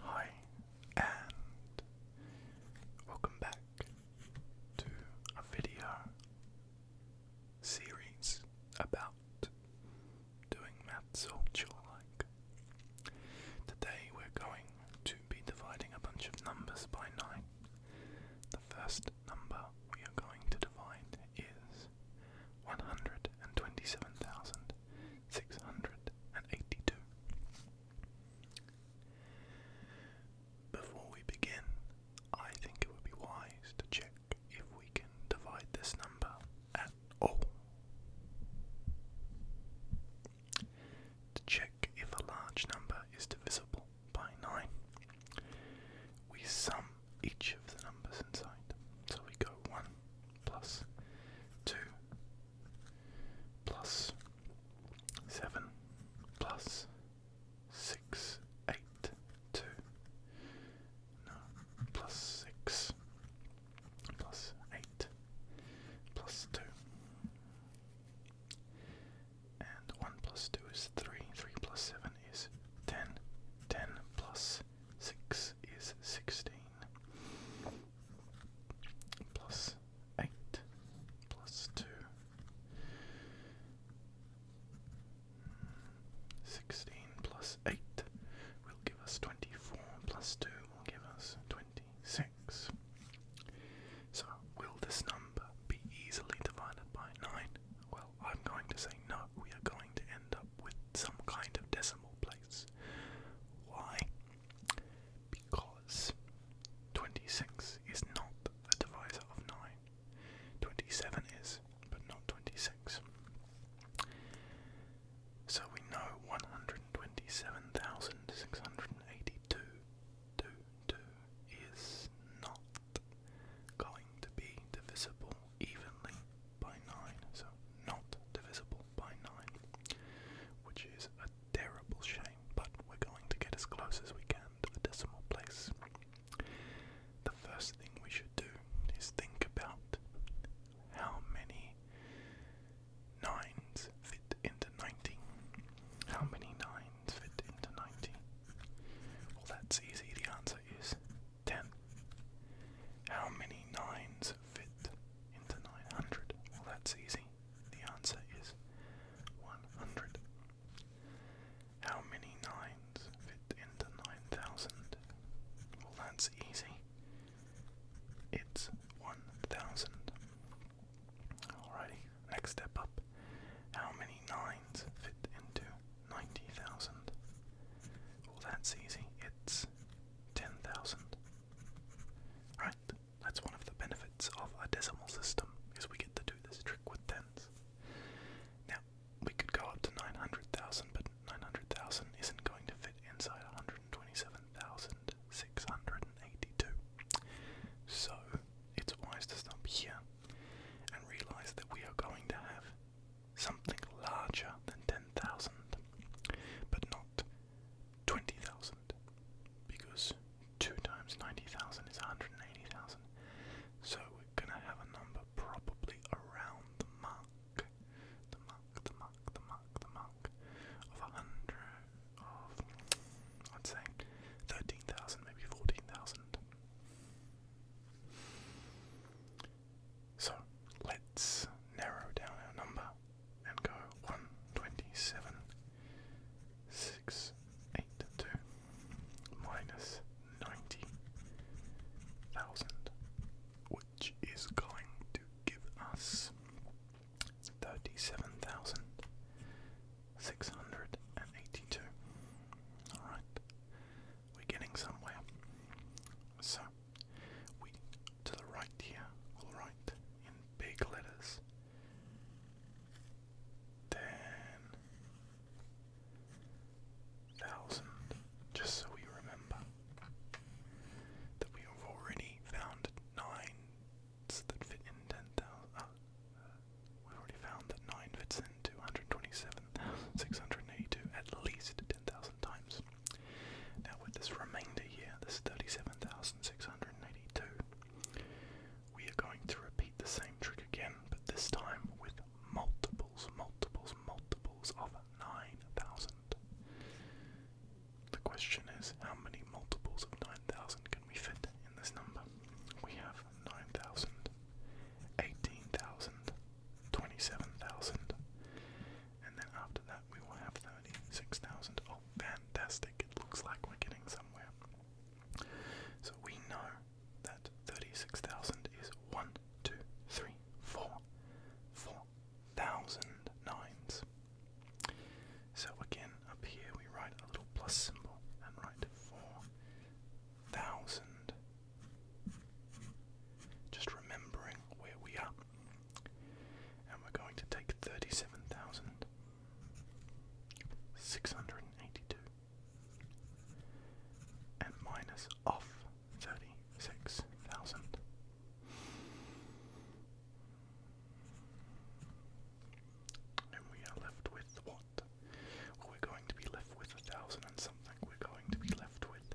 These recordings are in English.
Hi, and welcome back to a video series about doing maths all chore like. Today we're going to be dividing a bunch of numbers by 9. The first number we are going to divide is 127,682. Before we begin, I think it would be wise to check if we can divide this number at all. To check if a large number is divisible by 9, we sum each of the numbers inside. So we go 1 plus 2 plus 7 plus 6, 8, no. Plus six. Plus eight. Plus two. And one plus two is three. Three plus seven is ten. Ten plus six is sixteen. Plus eight. Plus two. 16 plus 8 will give us 24, plus 2 will give us 26. So, will this number be easily divided by 9? Well, I'm going to say no, we are going to end up with some kind of decimal place. Why? Because 26 is not a divisor of 9. 27 is, but not 26. So we know 127,682 is not going to be divisible evenly by 9, so not divisible by 9, which is a terrible shame, but we're going to get as close as we can to the decimal place the first thing we should do is think about how many nines fit into 90. How many nines fit into 90? Well, that's easy. The answer is 10. How many nines fit into 900? Well, that's easy. The answer is 100. How many nines fit into 9,000? Well, that's easy. It's 1,000. Alrighty, next step up. How many nines fit into 90,000? Well, that's easy. It's 10,000. Right, that's one of the benefits of a decimal system, is we get to do this trick with tens. Now, we could go up to 900,000, but 900,000 isn't going to fit inside 127,682. So it's wise to stop here and realize that we are going to have something larger than 10,000, but not 20,000, because 2 times 90,000 is 180,000. So we're going to have a number probably around the mark, the mark, the mark, the mark, the mark of a hundred of, I'd say, thirteen thousand, maybe fourteen thousand. So let's narrow down our number and go one twenty seven six eight two minus 90,000, which is going to give us 37,682. Alright, we're getting somewhere. So, we to the right here will write in big letters. Then thousand, just so we remember that we have already found nines that fit in ten thousand. Ah, we've already found that nine fits in two hundred twenty-seven thousand six hundred eighty-two at least ten thousand times. Now with this remainder here, this thirty-seven thousand six hundred eighty-two. We are going to repeat the same trick again, but this time with multiples, multiples, multiples of 9,000. The question is, how many multiples of 9,000 can we fit in this number? We have 9,000, 18,000, 27,000, and then after that we will have 36,000. Oh, fantastic! It looks like we're getting somewhere. So we know that 36,000 is 1, 2, 3, 4, 4,000 nines. So again, up here we write a little plus symbol and write 4,000. Just remembering where we are. And we're going to take 37,682 and minus off 36,000. And we are left with what? we're going to be left with a thousand and something. We're going to be left with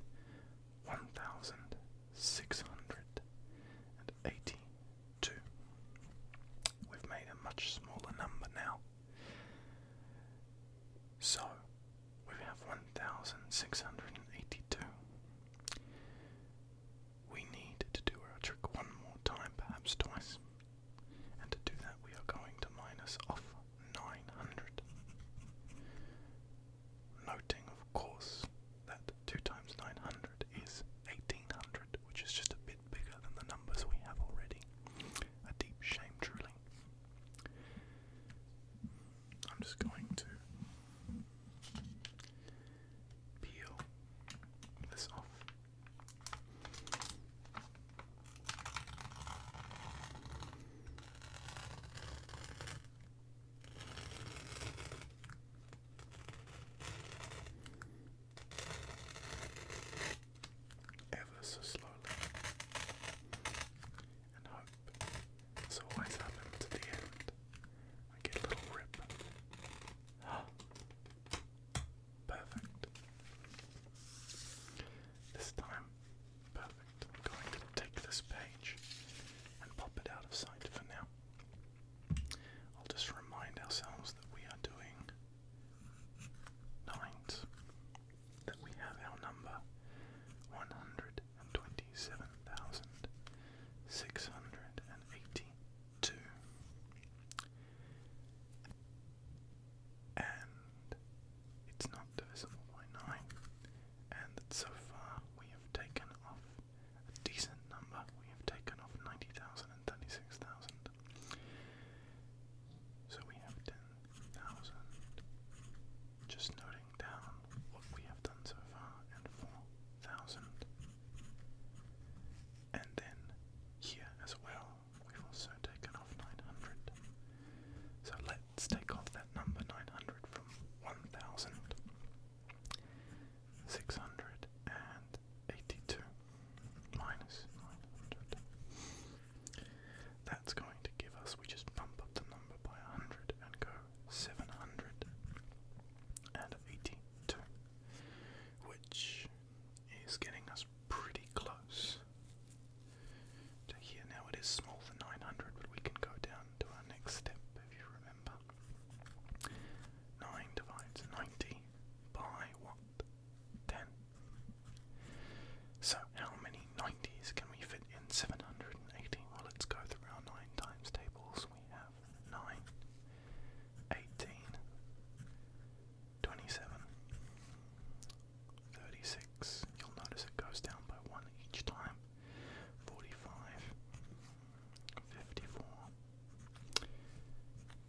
1,682. We've made a much smaller number now. So we have 1,682. We need to do our trick one more time, perhaps twice. And to do that, we are going to minus off 900. Noting, of course, that 2 times 900 is 1800, which is just a bit bigger than the numbers we have already. A deep shame, truly. I'm just going to peel this off ever so slowly, and hope has always happened to the end. I get a little rip. Perfect. This time, perfect. I'm going to take this page and pop it out of sight for now. I'll just remind ourselves that we are doing night that we have our number 127,682. And it's not divisible by 9, and that so far we have taken off a decent number. We have taken off 90,000 and 36,000. So we have 10,000. Just noting down what we have done so far, and 4,000. And then here as well, we've also taken off 900. So let's take off that number 900 from 1,682 minus 900. That's going to give us, we just bump up the number by 100 and go 782, which is getting us pretty close to here. Now it is small for 900, but we can go down to our next step if you remember. 9 divides by what? 10. So, how many 90s can we fit in seven hundred and eighteen? Well, let's go through our 9 times tables. We have 9, 18, 27, 36. You'll notice it goes down by 1 each time. 45,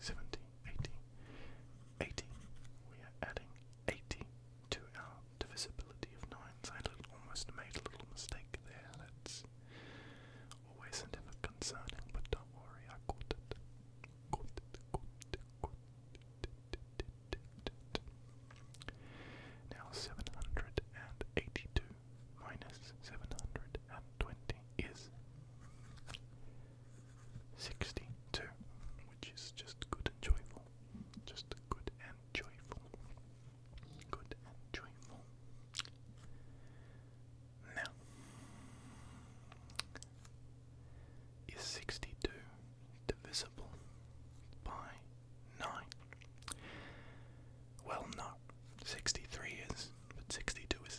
70, We are adding 80 to our divisibility of 9, I almost made a little mistake there. That's always and ever concerning, but don't worry, I caught it. Now 782 minus 720 is 62, which is just good and joyful. Just good and joyful. Good and joyful. Now, is 62 divisible by 9? Well, no. 63 is, but 62 is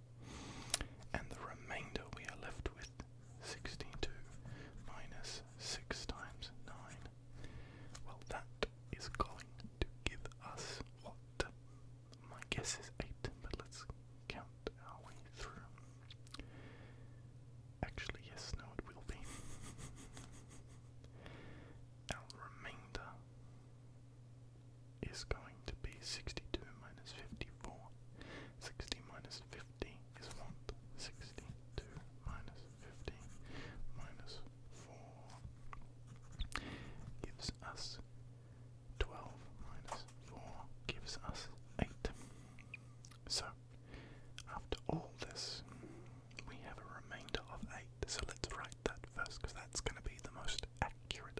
And the remainder we are left with 62 minus 6 times 9. Well, that is going to give us what? My guess is 8, but let's count our way through. Actually, yes, no, it will be. our remainder is going to be 62 minus 54. 60 minus 50 is what? 62 minus 50 minus 4 gives us 12 minus 4 gives us 8. So, after all this, we have a remainder of 8. So let's write that first because that's going to be the most accurate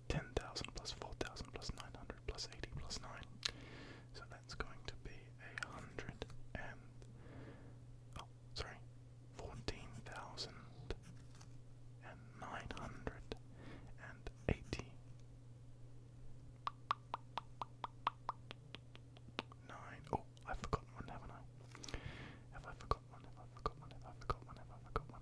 10,000 plus 4,000 plus 900 plus 80 plus 9. So that's going to be a hundred and. Oh, sorry. 14,980. Oh, I've forgotten one, haven't I? Have I forgotten one? Have I forgotten one? Have I forgotten one? Have I forgotten one?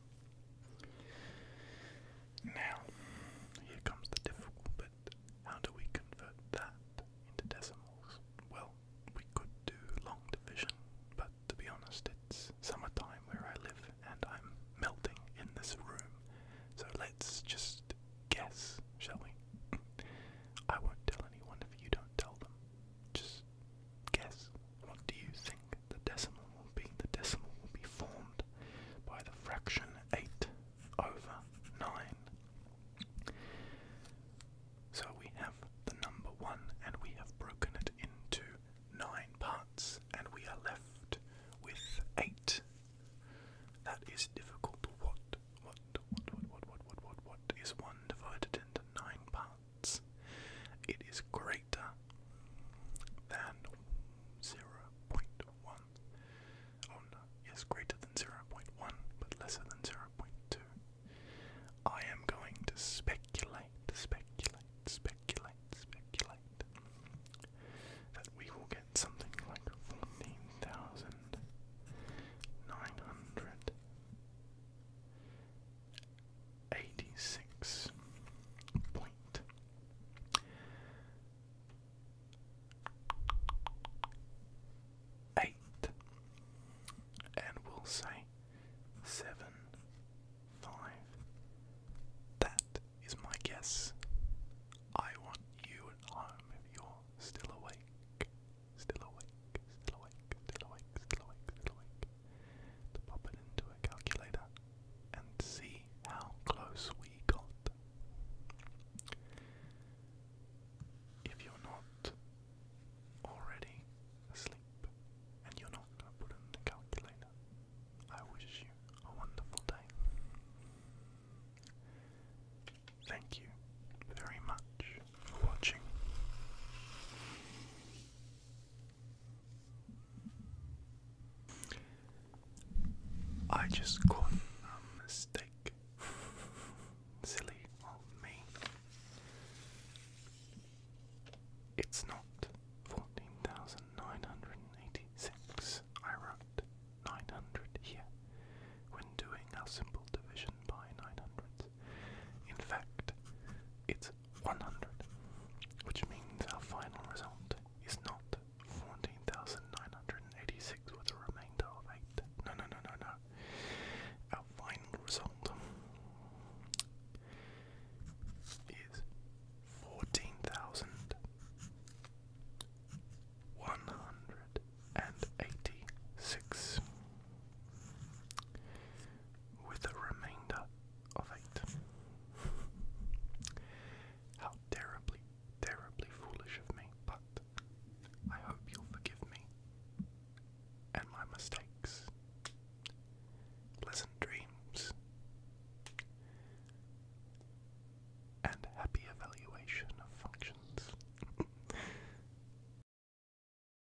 Now, here comes the difficult bit. How do we convert that into decimals? Well, we could do long division, but to be honest, it's summertime where I live and I'm melting in this room. So let's just guess, shall we? I won't tell anyone if you don't tell them. Just guess. What do you think the decimal will be? The decimal will be formed by the fraction 8 over 9. So we have the number 1 and we have broken it into 9 parts and we are left with 8. That is difficult. What, what, what, what, what, what, what, what, what is 1 divided into 9 parts? it is greater than 0.1. Oh no, yes, greater than 0.1, but lesser than 0.2. I am going to speculate, speculate, speculate, speculate that we will get something like 14,900. 86 point eight and we'll say seven five that is my guess I want you at home if you're still awake still awake still awake, still awake, still awake, still awake. To pop it into a calculator and see how close we got. If you're not already asleep and you're not going to put in the calculator, I wish you a wonderful day. Thank you very much for watching. I just caught a mistake. Silly of me. It's not 14,986. I wrote 900 here when doing our simple division by 900. In fact, it's 100, which means our final result is not 14,986 with a remainder of 8. No, no, no, no, no. Our final result is 14,186 with a remainder of eight. How terribly, terribly foolish of me, but I hope you'll forgive me and my mistakes. Pleasant dreams and happy evaluation of functions.